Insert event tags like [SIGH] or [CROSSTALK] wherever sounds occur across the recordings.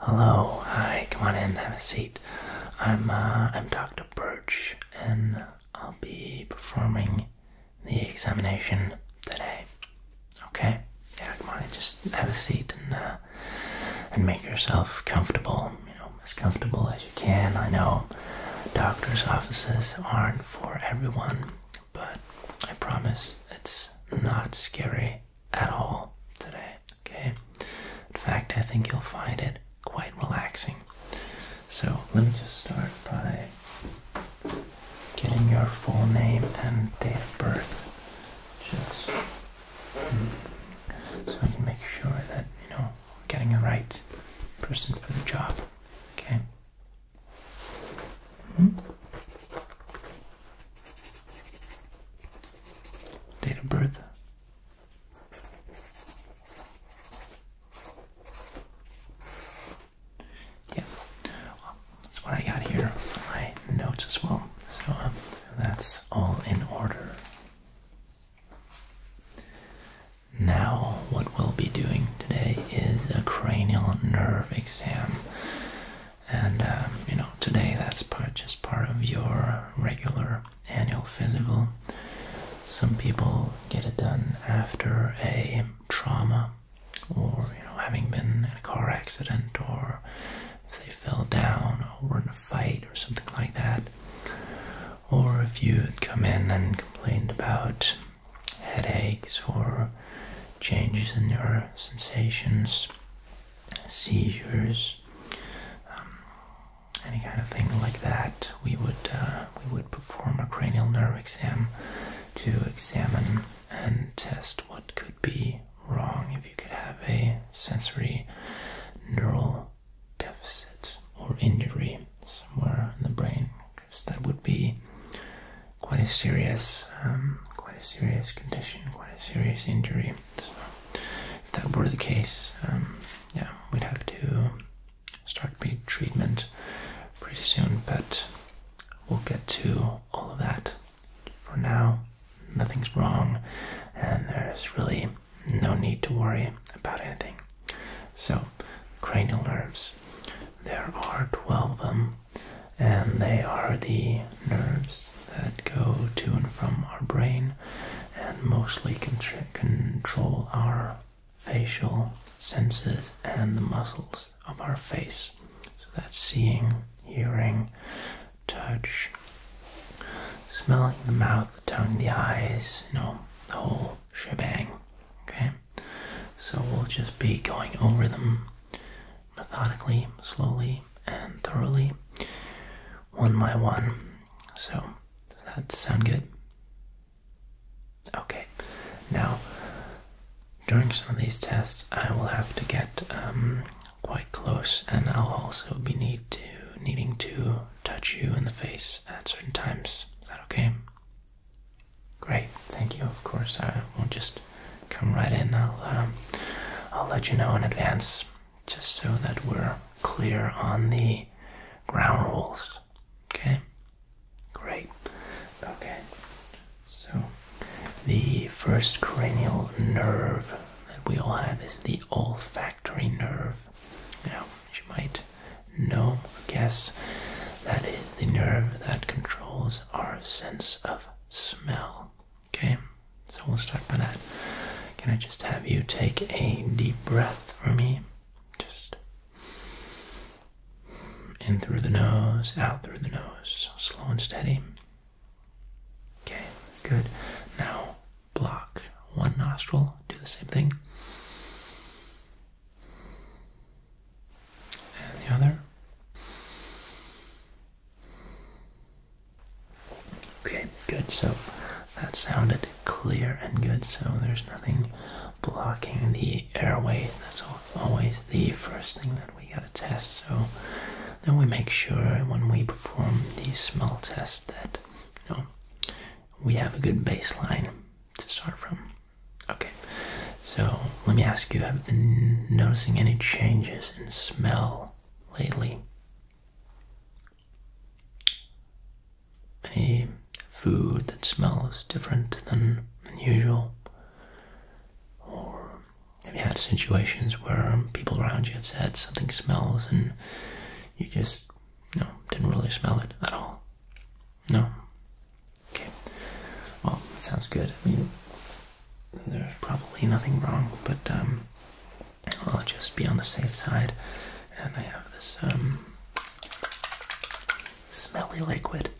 Hello, hi, come on in, have a seat. I'm uh, I'm Dr. Birch, and I'll be performing the examination today. Okay, yeah, come on in, just have a seat and uh, and make yourself comfortable. You know, as comfortable as you can. I know doctors' offices aren't for everyone, but I promise it's not scary at all today. Okay? In fact, I think you'll find it quite relaxing. So let me just start by getting your full name and date of birth. Just hmm, so we can make sure that, you know, we're getting the right person for the job. Okay? Hmm? date of birth. Yeah, that's what I got here my notes as well. So um, that's all in order. Now, what we'll be doing today is a cranial nerve exam and um, you know today that's just part of your regular annual physical some people get it done after a trauma or you know having been in a car accident or they fell down or were in a fight or something like that or if you had come in and complained about headaches or changes in your sensations seizures, um, any kind of thing like that, we would uh, we would perform a cranial nerve exam to examine and test what could be wrong if you could have a sensory neural deficit or injury somewhere in the brain, because that would be quite a serious, um, quite a serious condition, quite a serious injury if that were the case, um, yeah, we'd have to start treatment pretty soon, but we'll get to all of that. For now, nothing's wrong, and there's really no need to worry about anything. So, cranial nerves. There are 12 of them, and they are the nerves that go to and from our brain and mostly control our facial senses and the muscles of our face. So that's seeing, hearing, touch, smelling the mouth, the tongue, the eyes, you know, the whole shebang. Okay? So we'll just be going over them methodically, slowly, and thoroughly, one by one. So, that sound good? Okay. Now, during some of these tests, I will have to get um, quite close, and I'll also be need to needing to touch you in the face at certain times. Is that okay? Great, thank you. Of course, I won't just come right in. I'll uh, I'll let you know in advance just so that we're clear on the ground rules. Okay? Great. Okay. So, the first cranial nerve that we all have is the olfactory nerve. Now, you might know or guess, that is the nerve that controls our sense of smell. Okay, so we'll start by that. Can I just have you take a deep breath for me? Just in through the nose, out through the nose, slow and steady. Okay, that's good. Now block one nostril, do the same thing. And the other. Okay, good. So that sounded clear and good. So there's nothing blocking the airway. That's always the first thing that we gotta test. So then we make sure when we perform the smell test that you we have a good baseline to start from. Okay, so let me ask you: Have you been noticing any changes in smell lately? any food that smells different than usual, or have you had situations where people around you have said something smells and you just no didn't really smell it at all? No. Okay. Well, that sounds good. I mean, there's probably nothing wrong, but um, I'll just be on the safe side. And they have this um, smelly liquid.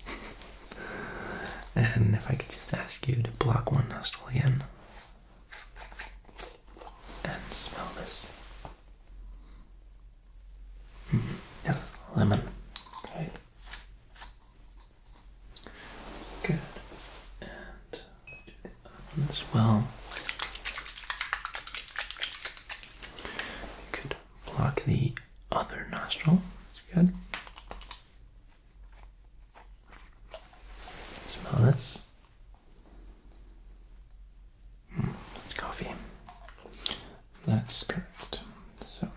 and if I could just ask you to block one nostril again and smell this. Mm-hmm. Yes, lemon. Right. Good. And as well. You could block the other nostril. That's good. Smell this. it's hmm, coffee. That's correct. So,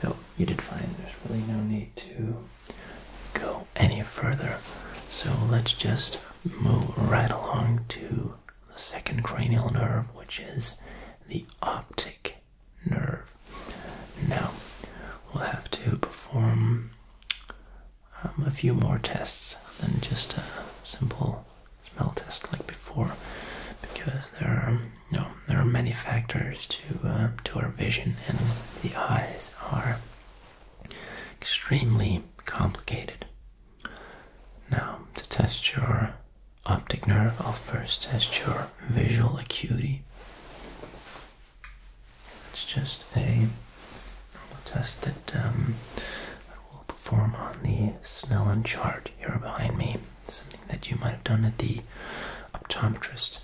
so oh, you did fine. there's really no need to go any further. So let's just move right along to the second cranial nerve, which is the optic nerve. Now, we'll have to perform um, a few more tests than just a simple smell test like before, because there are you there are many factors to uh, to our vision, and the eyes are extremely complicated. Now, to test your optic nerve, I'll first test your visual acuity. It's just a test that um, I will perform on the Snellen chart here behind me, something that you might have done at the optometrist.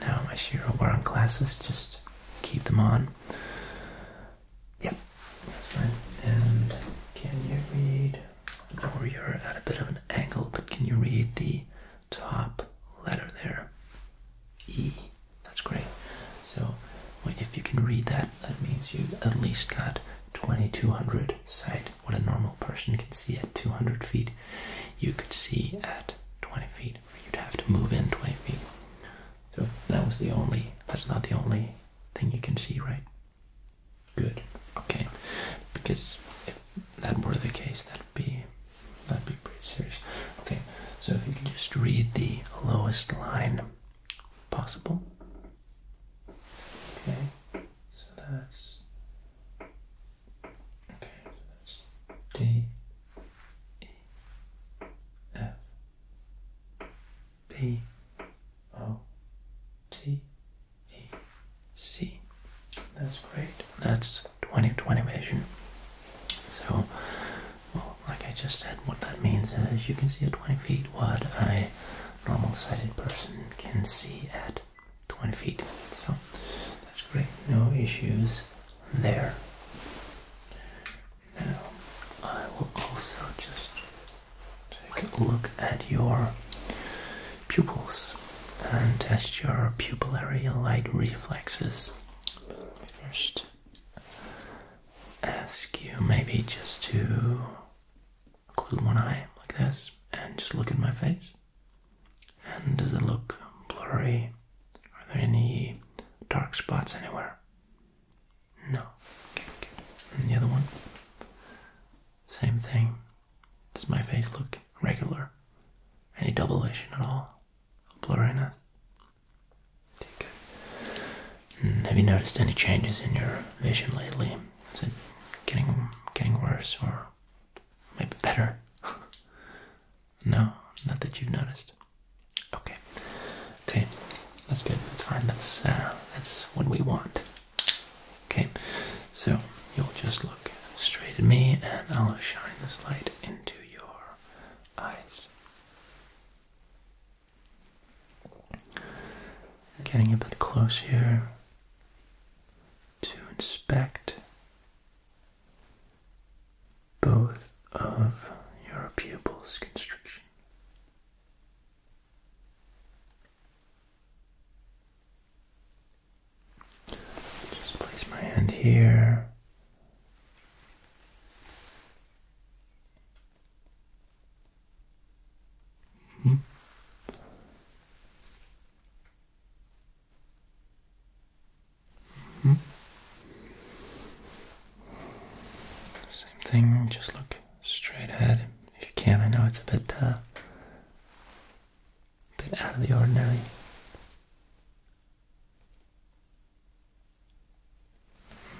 Now, as you're wearing glasses. just keep them on. Yep, that's fine. And can you read? Or you're at a bit of an angle, but can you read the top letter there? E. That's great. So if you can read that, that means you have at least got 2200 sight. What a normal person can see at 200 feet, you could see at 20 feet you'd have to move in 20 feet. So that was the only, that's not the only thing you can see, right? Good, okay. Because if that were the case, that'd be, that'd be pretty serious. Okay, so if you can just read the lowest line possible. Okay, so that's, okay, so that's D, E, F B O T E C. That's great. That's 2020 vision. So, well, like I just said, what that means is you can see at 20 feet what a normal sighted person can see at 20 feet. So, that's great. No issues there. Now, I will also just take a look at your pupils and test your pupillary light reflexes. Let me first ask you maybe just to close one eye like this and just look at my face. And does it look blurry are there any dark spots anywhere? No. the other one? Same thing. Does my face look regular? Any double vision at all? Blurriness? Okay, mm, Have you noticed any changes in your vision lately? Is it getting getting worse or maybe better? [LAUGHS] No, not that you've noticed. Okay, okay, that's good. That's fine. That's uh, that's what we want. Okay, so you'll just look straight at me, and I'll shine this light into your eyes. Getting a bit close here to inspect both of your pupils constriction. Just place my hand here. Hmm? Same thing, just look straight ahead if you can. I know it's a bit, uh, a bit out of the ordinary.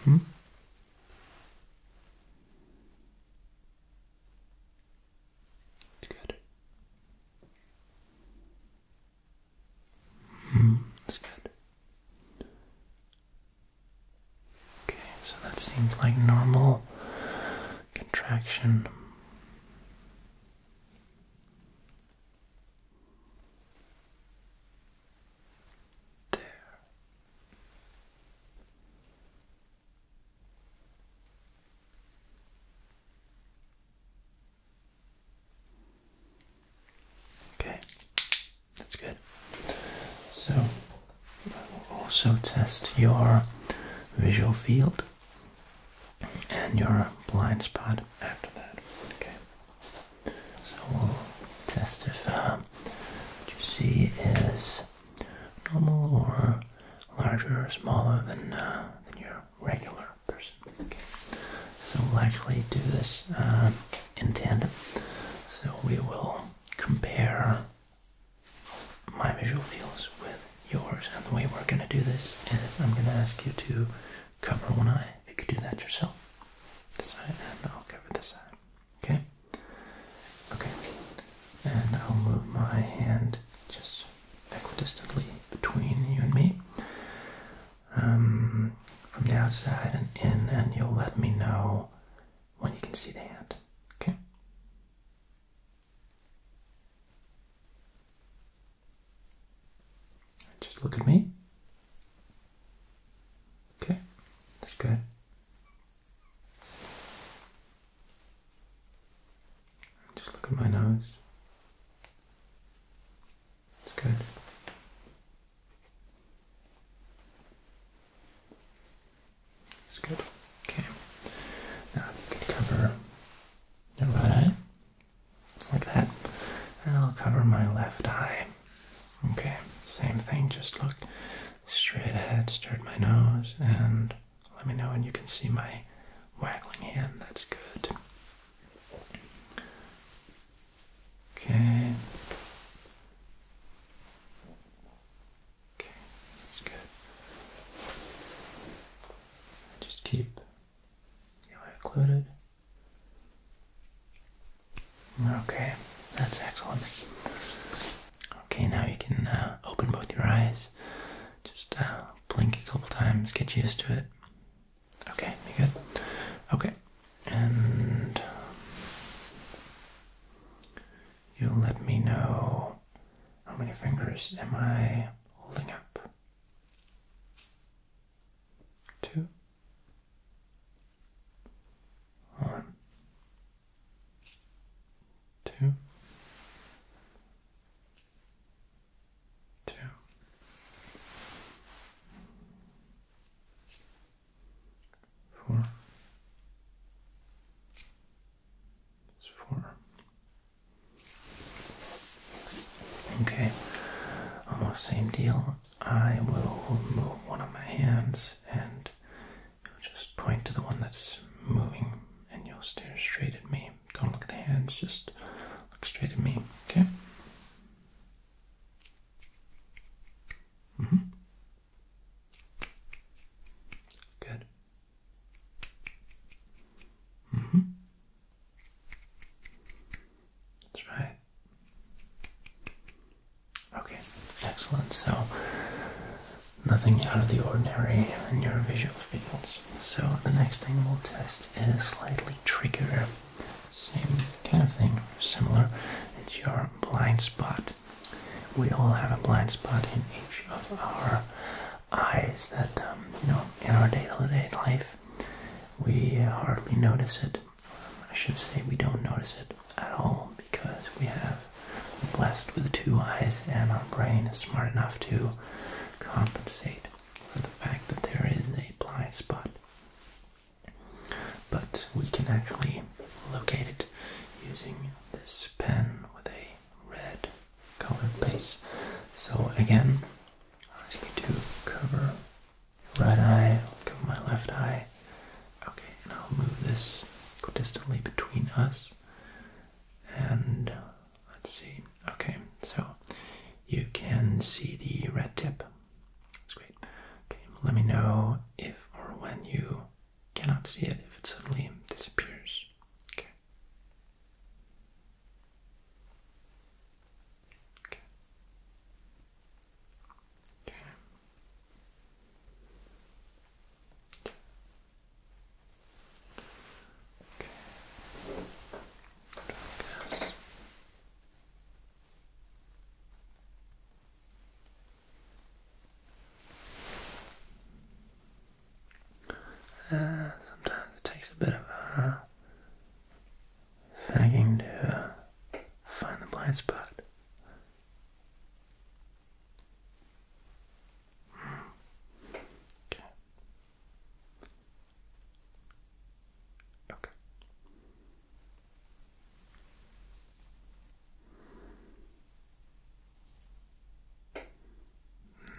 -hmm. Good. Mm, that's good. Okay, so that seems like normal contraction. There. Okay, that's good. So, I will also test your visual field and your blind spot after that. Okay, so we'll test if uh, what you see is normal or larger or smaller than, uh, than your regular person. Okay, so we'll actually do this um, in tandem. So we will compare my visual fields with yours, and the way we're going to do this is I'm going to ask you to cover one eye. You could do that yourself. This side, and I'll cover this side. Okay. Okay. And I'll move my hand just equidistantly between you and me um, from the outside and in, and you'll let me know when you can see the hand. Okay? Just look at me. Okay, that's good. Just look at my nose. Good. That's good. Okay. Now you can cover your right eye like that, and I'll cover my left eye. Okay. Same thing. Just look straight ahead, stare at my nose, and let me know when you can see my waggling hand. That's good. Okay. Okay, that's good. Just keep the eye occluded. Okay, that's excellent. Okay, now you can uh, open both your eyes. Just uh, blink a couple times, get used to it. Okay, good? Okay, and um, you'll let me know how many fingers am I holding up? Two, one, two, two four. It's four. Okay, almost same deal. I will move one of my hands and just point to the one that's moving, and you'll stare straight at me. Don't look at the hands, just look straight at me, okay? Mm -hmm. Good. Mm -hmm. That's right. Okay, excellent. So, nothing out of the ordinary in your visual fields. So, the next thing we'll test is slightly trickier same kind of thing, similar. It's your blind spot. We all have a blind spot in each of our eyes that, um, you know, in our day to day life, we hardly notice it. I should say we don't notice it at all because we have blessed with two eyes and our brain is smart enough to compensate for the fact that there is a blind spot. But we can actually locate it using this pen with a red color base. So again, i am ask you to cover right eye, cover my left eye. Okay, and I'll move this distantly between us. And let's see. Okay, so you can see the red tip that's great. Okay, let me know if or when you cannot see it, if it suddenly disappears. Okay. Uh, sometimes it takes a bit of uh, fagging to uh, find the blind spot. Hmm. Okay. Okay.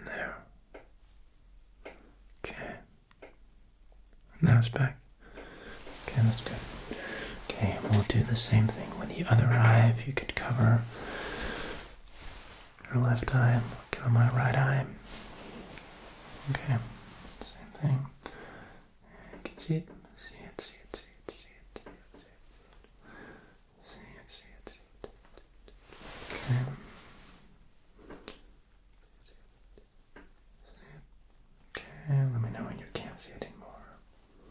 There. Okay. Now it's back. Okay, that's good. Okay, we'll do the same thing with the other eye. If you could cover your left eye, I'll cover my right eye. Okay, same thing. You can see it. See it, see it, see it, see it, see it, see it. See it, Okay. Okay, let me know when you can't see it anymore.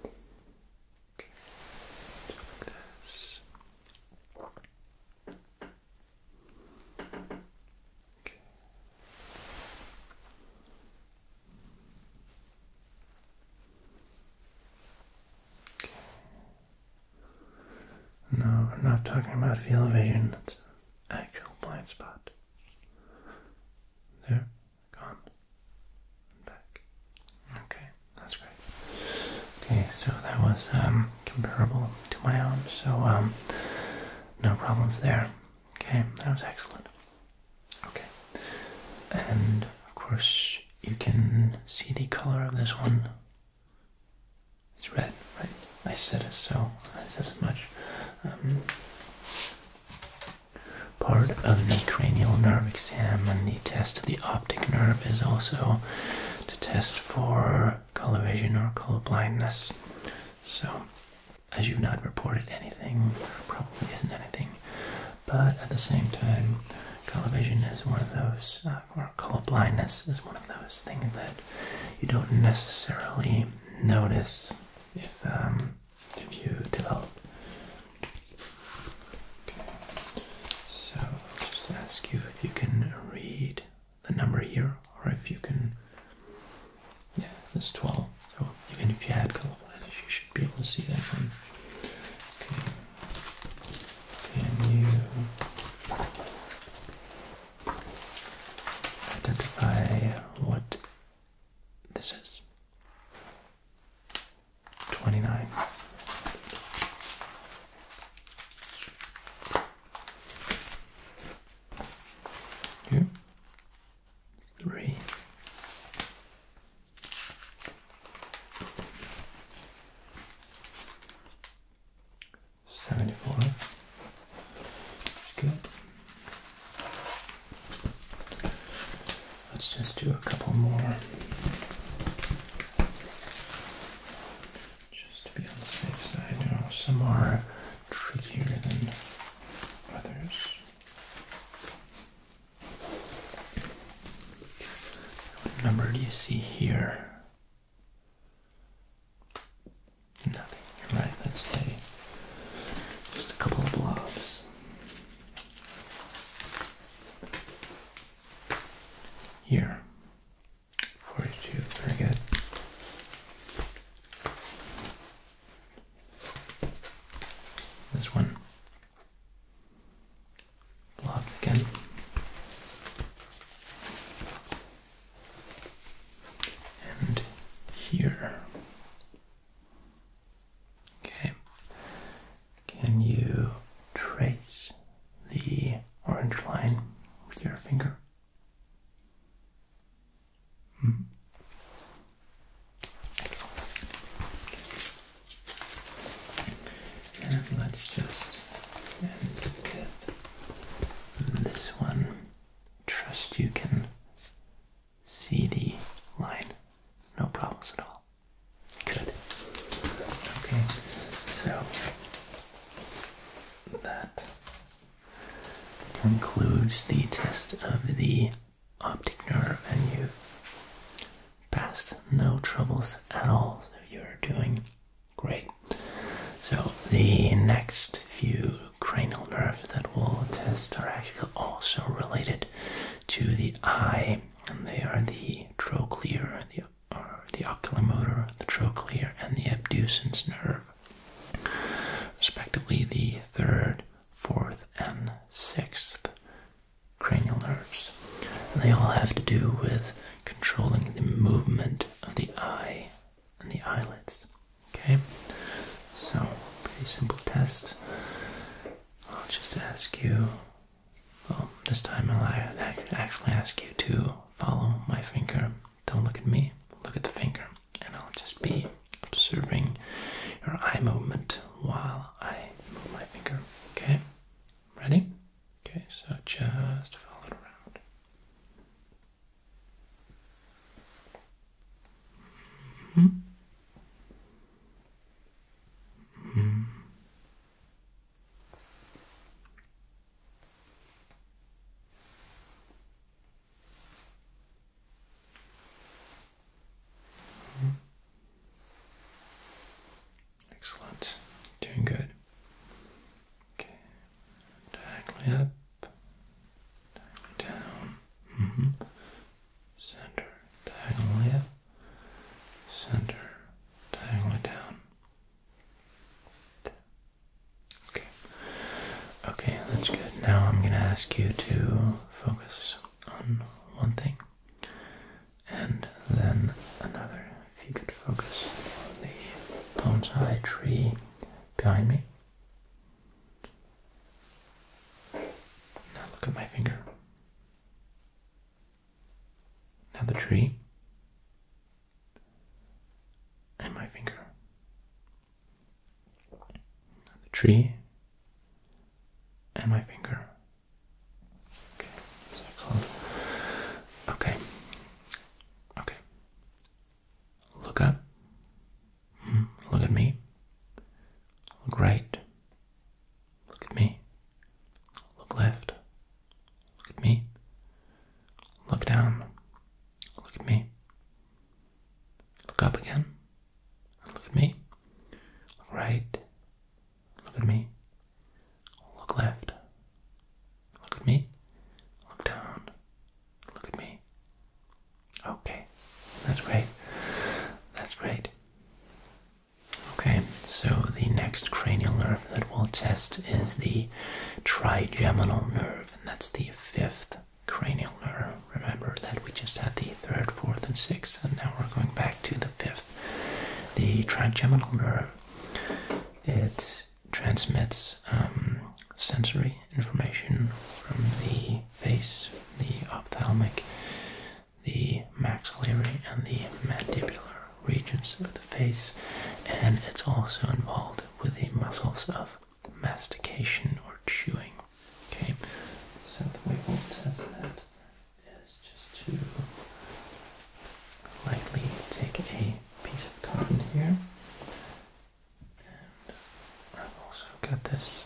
Okay. Just like this. Okay. No, we're not talking about field vision. It's an actual blind spot. There, gone, back. Okay, that's great. Okay, so that was um, comparable to my own, so um, no problems there. Okay, that was excellent. Okay, and of course you can see the color of this one. It's red, right? I said it so. I said as much. Um, part of the cranial nerve exam and the test of the optic nerve is also to test for color vision or color blindness. So as you've not reported anything, probably isn't anything. But at the same time, color vision is one of those, uh, or color blindness is one of those things that you don't necessarily notice if um, if you develop. So I'll just ask you if you can read the number here, or if you can yeah, that's 12. So even if you had color blindness, you should be able to see that one. Can you identify what this is? 29. Here three. Seventy four. Let's just do a couple more just to be on the safe side. You know, some are trickier than others. What number do you see here? Nothing. right, let's say just a couple of blobs. Here. 42, very good. This one. Block again. And here. Okay. Can you trace the orange line with your finger? Hmm. And let's just end this one. Trust you can see the line. No problems at all. Good. Okay, so that concludes the test of the optic nerve and you've passed no troubles at all. So you're doing great. So the next few cranial nerves that we'll test are actually also related to the eye, and they are the trochlear, the or the oculomotor, the trochlear, and the abducens nerve, respectively. The third fourth, and sixth cranial nerves. they all have to do with controlling the movement of the eye and the eyelids. Okay? So, pretty simple test. I'll just ask you, well, this time I'll actually ask you to follow my finger. Don't look at me, look at the finger and I'll just be observing your eye movement while I move my finger. Okay? Ready? Okay, so just follow it around. Mm-hmm. Mm-hmm. Excellent. Doing good. Okay. Diagonally up. Diagonally down. Mm-hmm. Center. Diagonally up. Center. Diagonally down. Okay. Okay, that's good. Now I'm gonna ask you to focus on one thing and then another. If you could focus on the bonsai tree behind me. Now look at my finger. Now the tree and my finger the tree, and my finger. Okay, that's Okay, okay. Look up. Hmm, look at me. Look right. Look at me. Look left. Look at me. Look down. Look at me. Look up again. Look at me. right. Look at me. Look left. Look at me. Look down. Look at me. Okay. That's great. That's great. Okay, so the next cranial nerve that we'll test is the trigeminal nerve, and that's the fifth cranial nerve. Remember that we just had the third, fourth, and sixth, and now we're going back to the fifth. The trigeminal nerve. It transmits um, sensory information from the face, the ophthalmic, the maxillary, and the mandibular regions of the face, and it's also involved with the muscles of mastication or chewing. Okay, so the way we'll test that is just to lightly take a piece of cotton here, and I've also got this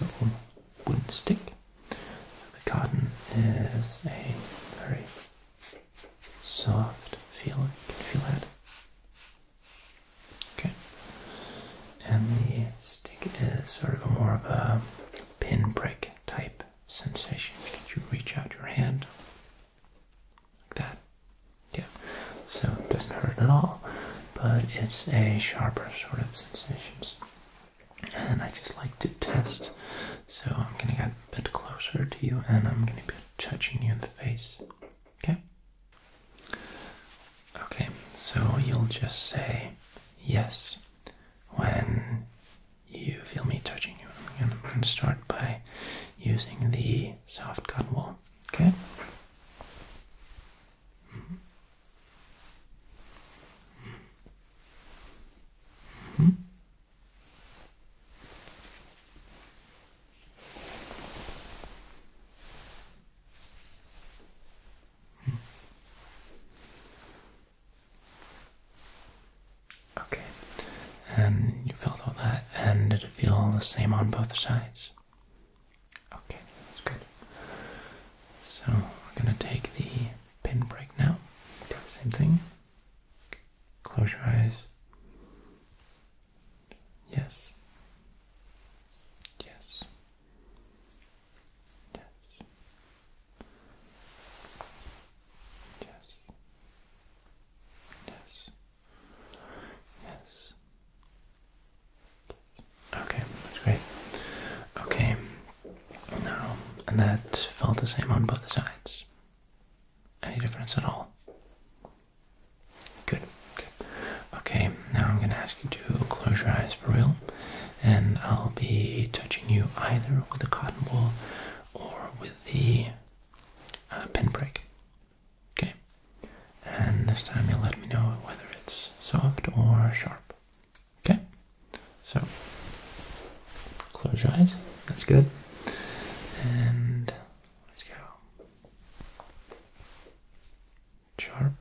little wooden stick. the cotton is a very soft feel. You Can feel that? Okay. And the stick is sort of a more of a pin prick type sensation. Can you reach out your hand like that? Yeah. So it doesn't hurt at all, but it's a sharper sort of sensations. And I just like to test. So I'm gonna get a bit closer to you and I'm gonna be touching you in the face. Okay. Okay, so you'll just say yes when you feel me touching you. And I'm going to start by using the soft cotton wool. Okay? Hmm. Okay, and you felt all that, and did it feel the same on both sides? Okay, that's good. So we're gonna take the pin break now. Do the same thing. Close your eyes. Yes. Yes. Yes. Yes. Yes. Yes. Okay, that's great. Okay, and that felt the same on both sides. Any difference at all? Good. Okay, now I'm gonna ask you to close your eyes for real, and I'll be touching you either with a cotton ball or with the pin uh, pinprick. Okay, and this time you let me know whether it's soft or sharp. Okay, so close your eyes. That's good, and let's go. Sharp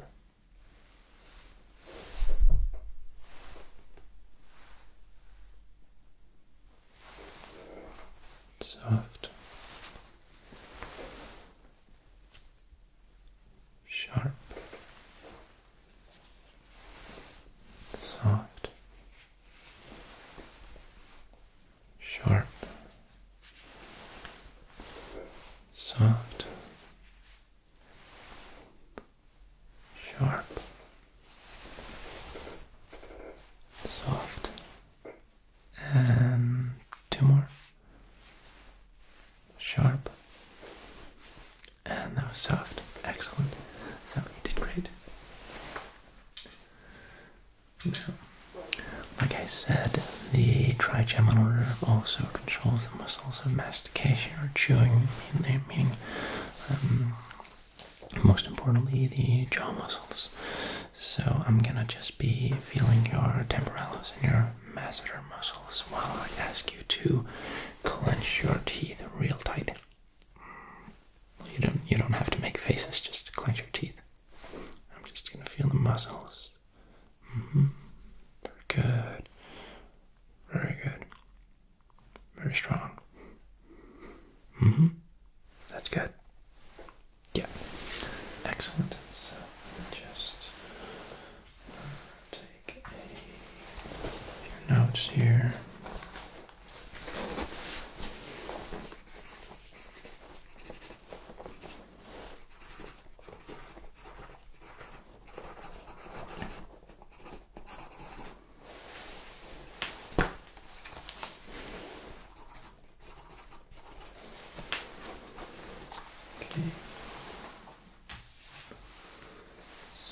soft, sharp, soft, sharp soft, sharp, soft, and two more, sharp, and that was soft. Excellent. So you did great. Now, like I said, the trigeminal order also controls the muscles of mastication or chewing, meaning um, most importantly the jaw muscles. So I'm gonna just be feeling your temporalis and your masseter muscles while I ask you to clench your teeth real tight. You don't you don't have to make faces, just clench your teeth. I'm just gonna feel the muscles Mm -hmm. Very good. Very good. Very strong. Mm -hmm. That's good. Yeah. Excellent. So just uh, take a few notes here. Okay.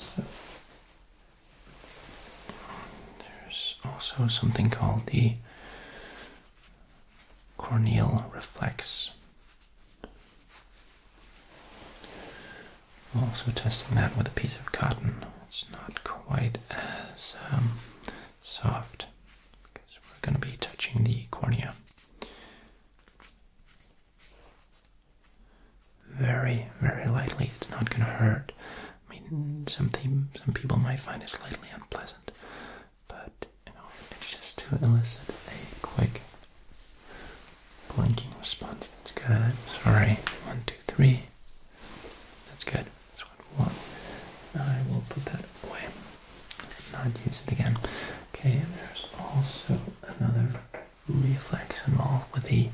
So there's also something called the corneal reflex also testing that with a piece of cotton. It's not quite as um, soft because we're going to be touching the cornea. Very, very lightly. It's not going to hurt. I mean, some people might find it slightly unpleasant, but it's just to elicit a quick blinking response. That's good. Sorry. One, two, three. That's good. That's one. I will put that away. Not use it again. Okay, there's also another reflex involved with the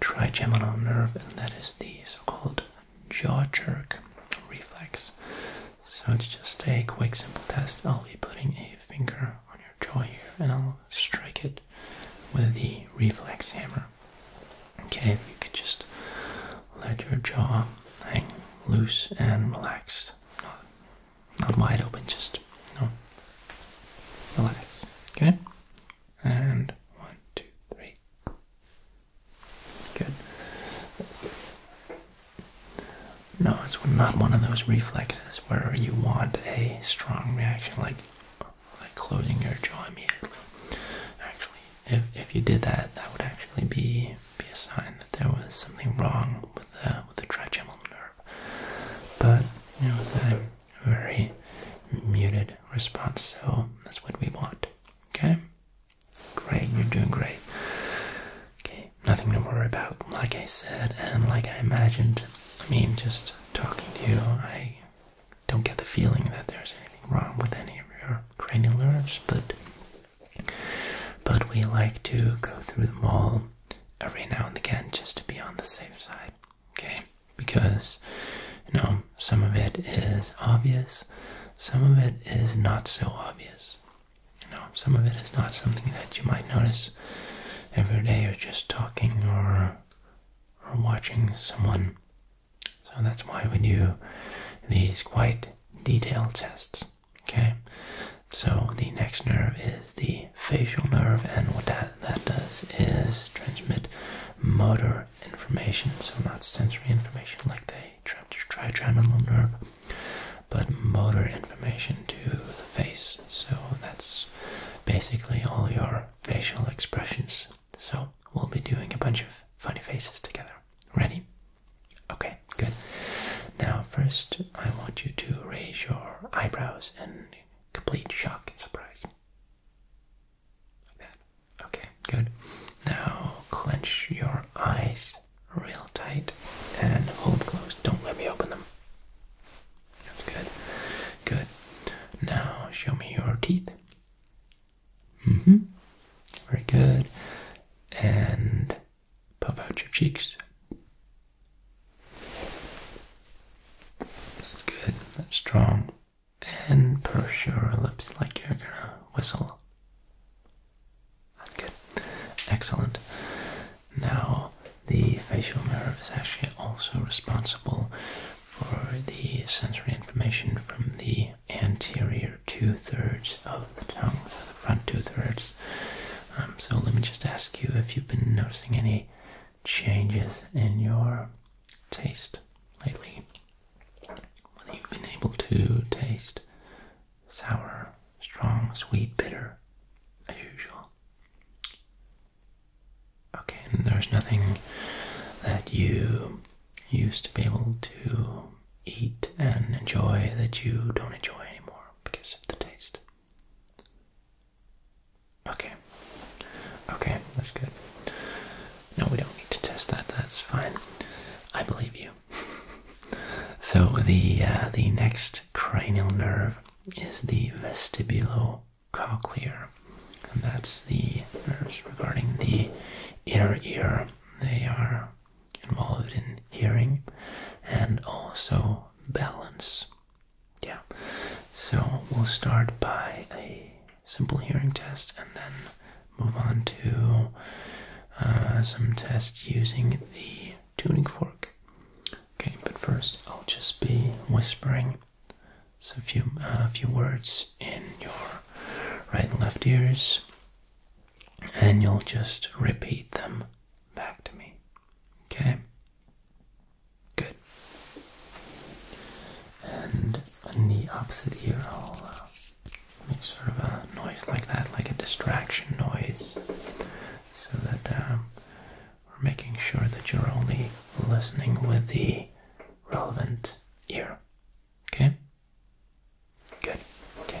trigeminal nerve, and that is the so-called jaw jerk reflex. So it's just a quick, simple test. I'll be putting a finger on your jaw here, and I'll strike it with the reflex hammer. Okay, you can just let your jaw hang loose and relaxed, not not wide open, just no relax. Okay, and one, two, three. Good. No, it's not one of those reflexes where you want a strong reaction like like closing your jaw Actually, if if you did that, that would actually be be a sign that there was something wrong with the with the trigeminal nerve. But it was a very muted response, so that's what we want. Okay? Great, you're doing great. Okay, nothing to worry about, like I said, and like I imagined. I mean, just talking to you, I don't get the feeling that there's anything wrong with any of your cranial nerves, but but we like to go through them all every now and again just to be on the safe side, okay? Because you know, some of it is obvious, some of it is not so obvious. You some of it is not something that you might notice every day or just talking or or watching someone. So that's why we do these quite detailed tests. Okay? So the next nerve is the facial nerve and what that, that does is transmit motor information, so not sensory information like the trigeminal nerve but motor information to the face. So that's basically all your facial expressions. So we'll be doing a bunch of funny faces together. Ready? Okay, good. Now, first, I want you to raise your eyebrows and complete shock and surprise. Like that. Okay, good. Now, clench your eyes real tight and hold closed. Don't let me open them. That's good. Good. Now show me your teeth. Mm-hmm. Very good. And puff out your cheeks. That's good. That's strong. And purse your lips like you're gonna whistle. Good. Excellent. Now, the facial nerve is actually also responsible for the sensory information from the anterior two thirds of the tongue, the front two thirds. Um, so, let me just ask you if you've been noticing any changes in your taste lately. Whether you've been able to taste sour, strong, sweet, bitter, as usual. Okay, and there's nothing that you used to be able to eat and enjoy that you don't enjoy anymore because of the taste. Okay. Okay, that's good. No, we don't need to test that. That's fine. I believe you. [LAUGHS] so the uh, the next cranial nerve is the vestibulo cochlear, And that's the nerves regarding the inner ear. They are involved in hearing and also balance. Yeah. So we'll start by a simple hearing test and then move on to uh, some tests using the tuning fork. Okay, but first I'll just be whispering some few uh, few words in your right and left ears, and you'll just repeat them back to me. Okay. Good. And on the opposite ear, I'll uh, make sort of a noise like that, like a distraction noise, so that um, we're making sure that you're only listening with the relevant ear. Okay? Good. Okay.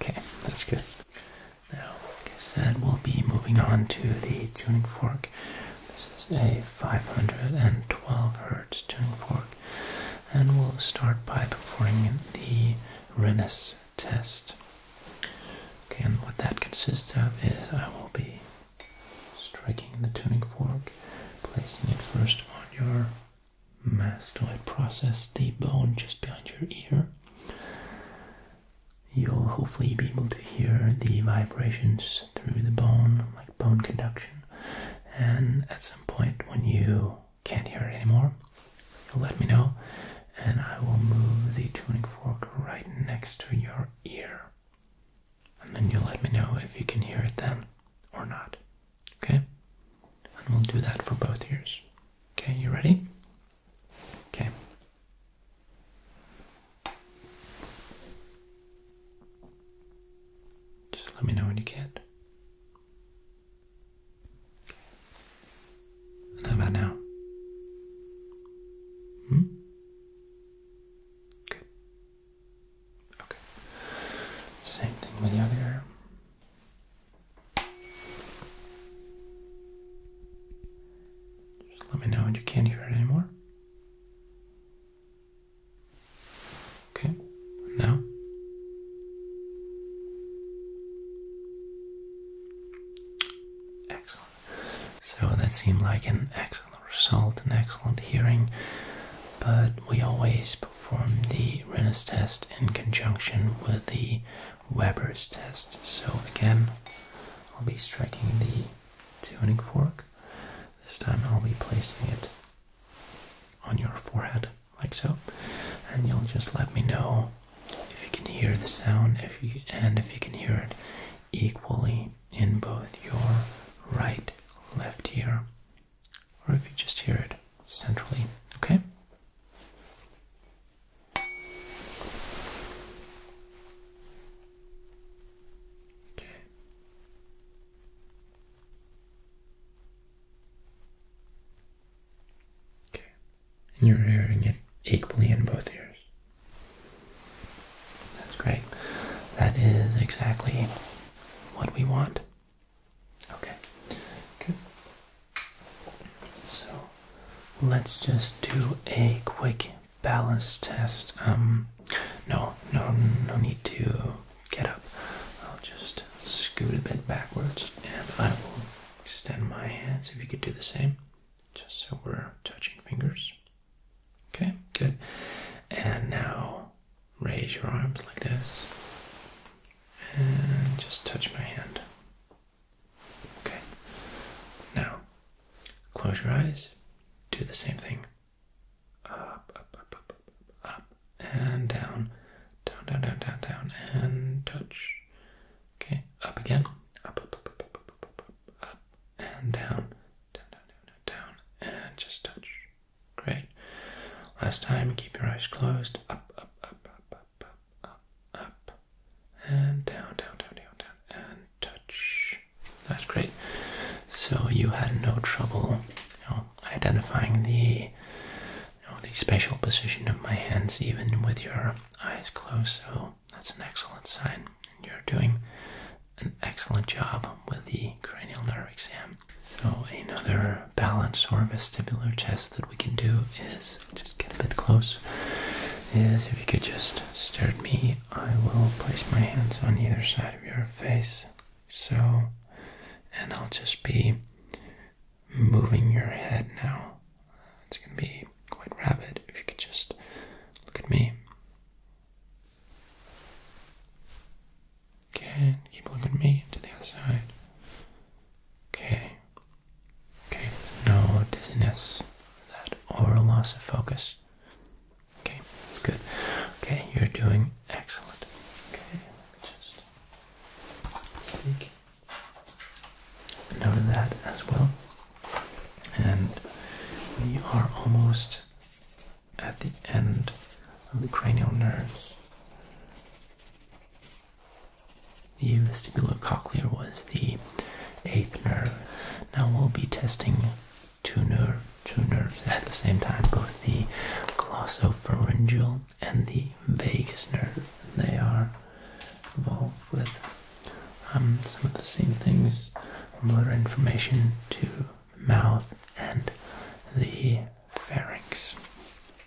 Okay, that's good. Now, like I said, we'll be moving on to the tuning fork. This is a 512 hertz tuning fork, and we'll start by performing the Rennes test. Okay, and what that consists of is I will be striking the tuning fork, placing it first on your mastoid process, the bone just behind your ear. You'll hopefully be able to hear the vibrations through the bone, like bone conduction. And at some point, when you can't hear it anymore, let me know, and I will move the tuning fork right next to your ear. And then you let me know if you can hear it then or not. Okay? And we'll do that for both ears. Okay, you ready? Okay. Just let me know when you can. And how about now? Hmm? Good. Okay. Same thing with the other arm. Just let me know when you can't hear it anymore. Okay. Now. Excellent. So that seemed like an X result, an excellent hearing, but we always perform the Renner's test in conjunction with the Weber's test. So again, I'll be striking the tuning fork. This time I'll be placing it on your forehead, like so, and you'll just let me know if you can hear the sound, if you and if you can hear it equally in both your right, left ear, or if you just hear it centrally, okay? Okay. Okay. And you're hearing it equally in both ears. That's great. That is exactly what we want. Okay. Good. So let's just do a quick balance test. Um no, no no need to get up. I'll just scoot a bit backwards and I will extend my hands if you could do the same. Just so we're touching fingers. Okay, good. And now raise your arms like this and just touch my hand. Okay. Now close your eyes. Do the same thing. Up, up, up, up, up, up, and down. Down, down, down, down, down, and touch. Okay, up again. Up, up, up, up, up, up, up, up, up and down down, down, down, down, and just touch. Great. Last time, keep your eyes closed. Up, up, up, up, up, up, up, up, and down, down, down, down, down, and touch. That's great. So you had no trouble you know, identifying the, you know, the spatial position of my hands, even with your eyes closed. So that's an excellent sign. And you're doing an excellent job with the cranial nerve exam. So another balance or vestibular test that we can do is just get a bit close. Is if you could just stare at me, I will place my hands on either side of your face. So, and I'll just be moving your head now. It's gonna be quite rapid. If you could just look at me. Okay, keep looking me to the other side. Okay. Okay, no dizziness. That oral loss of focus. Okay, that's good. Okay, you're doing excellent. Okay, just note of that as well. And we are almost at the end of the cranial nerves. The cochlear was the eighth nerve. Now we'll be testing two, nerve, two nerves at the same time, both the glossopharyngeal and the vagus nerve. They are involved with um, some of the same things, motor information too mouth and the pharynx,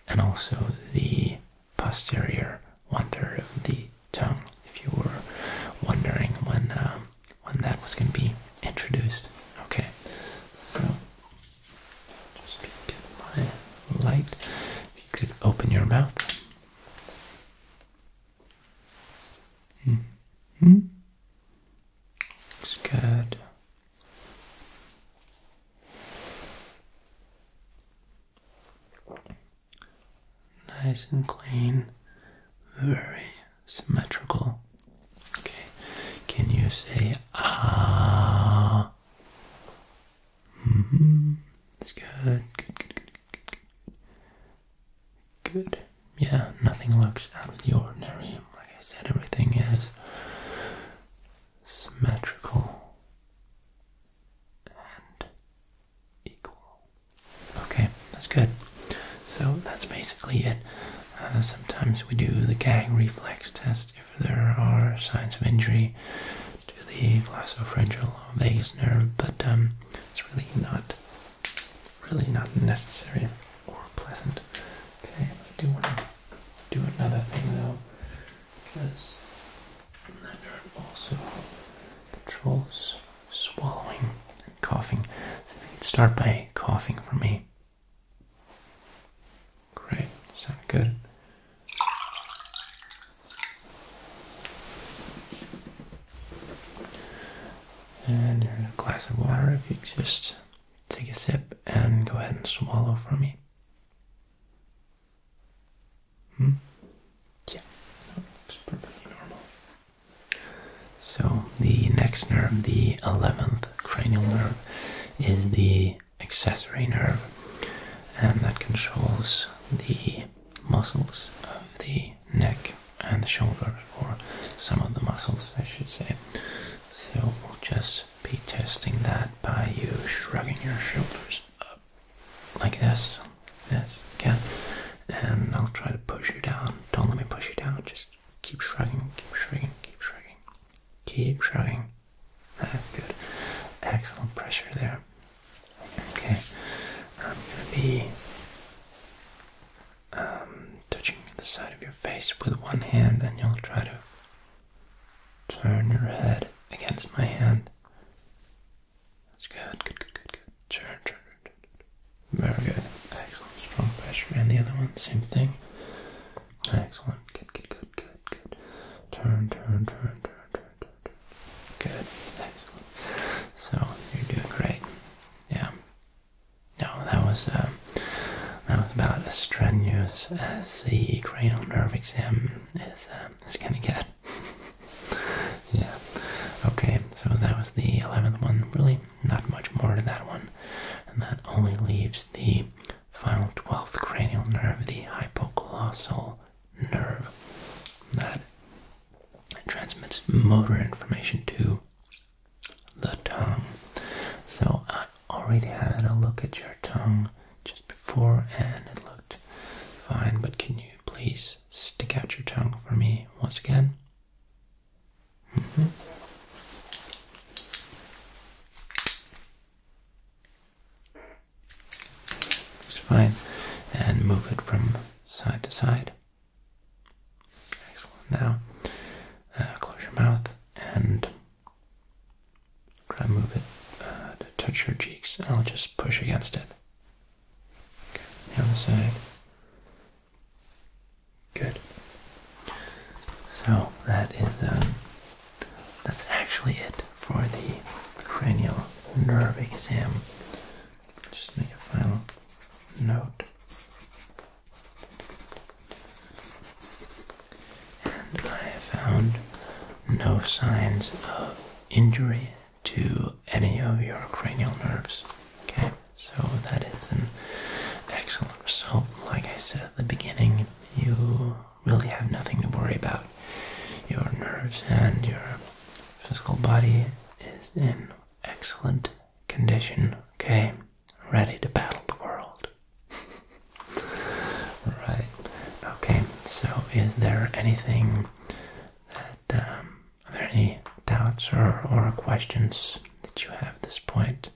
and also the posterior one third of the tongue. If you were wondering when um, when that was going to be introduced, okay. So just get my light. If you could open your mouth. Mm-hmm. Looks good. Nice and clean, very symmetrical. Okay, can you say ah? hmm. That's good, good, good, good, good good. Yeah, nothing looks out of the ordinary. Like I said, everything is symmetrical and equal. Okay, that's good. So that's basically it. Uh, sometimes we do the gag reflex test if there are signs of injury to the glossopharyngeal vagus nerve, but um, it's really not really not necessary or pleasant. Okay, I do want to do another thing though, because there are also controls swallowing and coughing. So you can start by coughing for me. Great, sound good. And here's a glass of water if you just take a sip and go ahead and swallow for me. Hmm? Yeah, So, the next nerve, the 11th cranial nerve, is the accessory nerve, and that controls the muscles of the neck and the shoulders or some of the muscles I should say. So we'll just be testing that by you shrugging your shoulders up like this. Yes, again. And I'll try to push you down. Don't let me push you down. Just keep shrugging, keep shrugging, keep shrugging. Keep shrugging. Ah, good. Excellent pressure there. Okay. I'm gonna be um, touching the side of your face with one hand, and you'll try to turn your head against my hand. That's good, good, good, good, good. Turn, turn, turn, turn. Very good. Excellent. Strong pressure. And the other one, same thing. Excellent. Good, good, good, good, good. Turn, turn, turn, turn, turn, turn, turn. Good. Excellent. So you're doing great. Yeah. No, that was um, that was about as strenuous as the cranial nerve exam is um, is gonna get. [LAUGHS] yeah. Okay, so that was the eleventh one. Really, not much more to that one, and that only leaves the final twelfth cranial nerve, the hypocolossal nerve, that transmits motor information to the tongue. So I already had a look at your tongue just before and it looked fine, but can you please stick out your tongue for me once again? Mm fine. And move it from side to side. Now, uh, close your mouth and try to move it uh, to touch your cheeks. I'll just push against it. Okay. The other side. Good. So that is um, that's actually it for the cranial nerve exam. Just make a final note. And I have found no signs of injury to any of your cranial nerves. Okay, so that is an excellent result. Like I said at the beginning, you really have nothing to worry about. Your nerves and your physical body is in excellent condition, okay? Ready to battle the world. [LAUGHS] right. Okay, so is there anything that, um, are there any doubts or, or questions that you have at this point?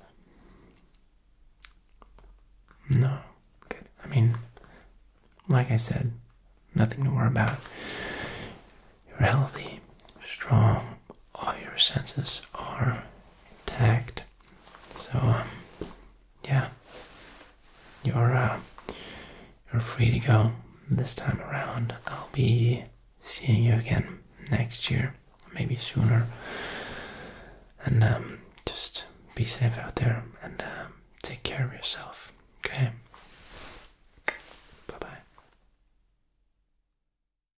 No. Good. I mean, like I said, nothing to worry about. You're healthy, strong, all your senses are intact. So um, yeah, you're uh, you're free to go this time around. I'll be seeing you again next year, maybe sooner. And um, just be safe out there and uh, take care of yourself. Okay. Bye bye.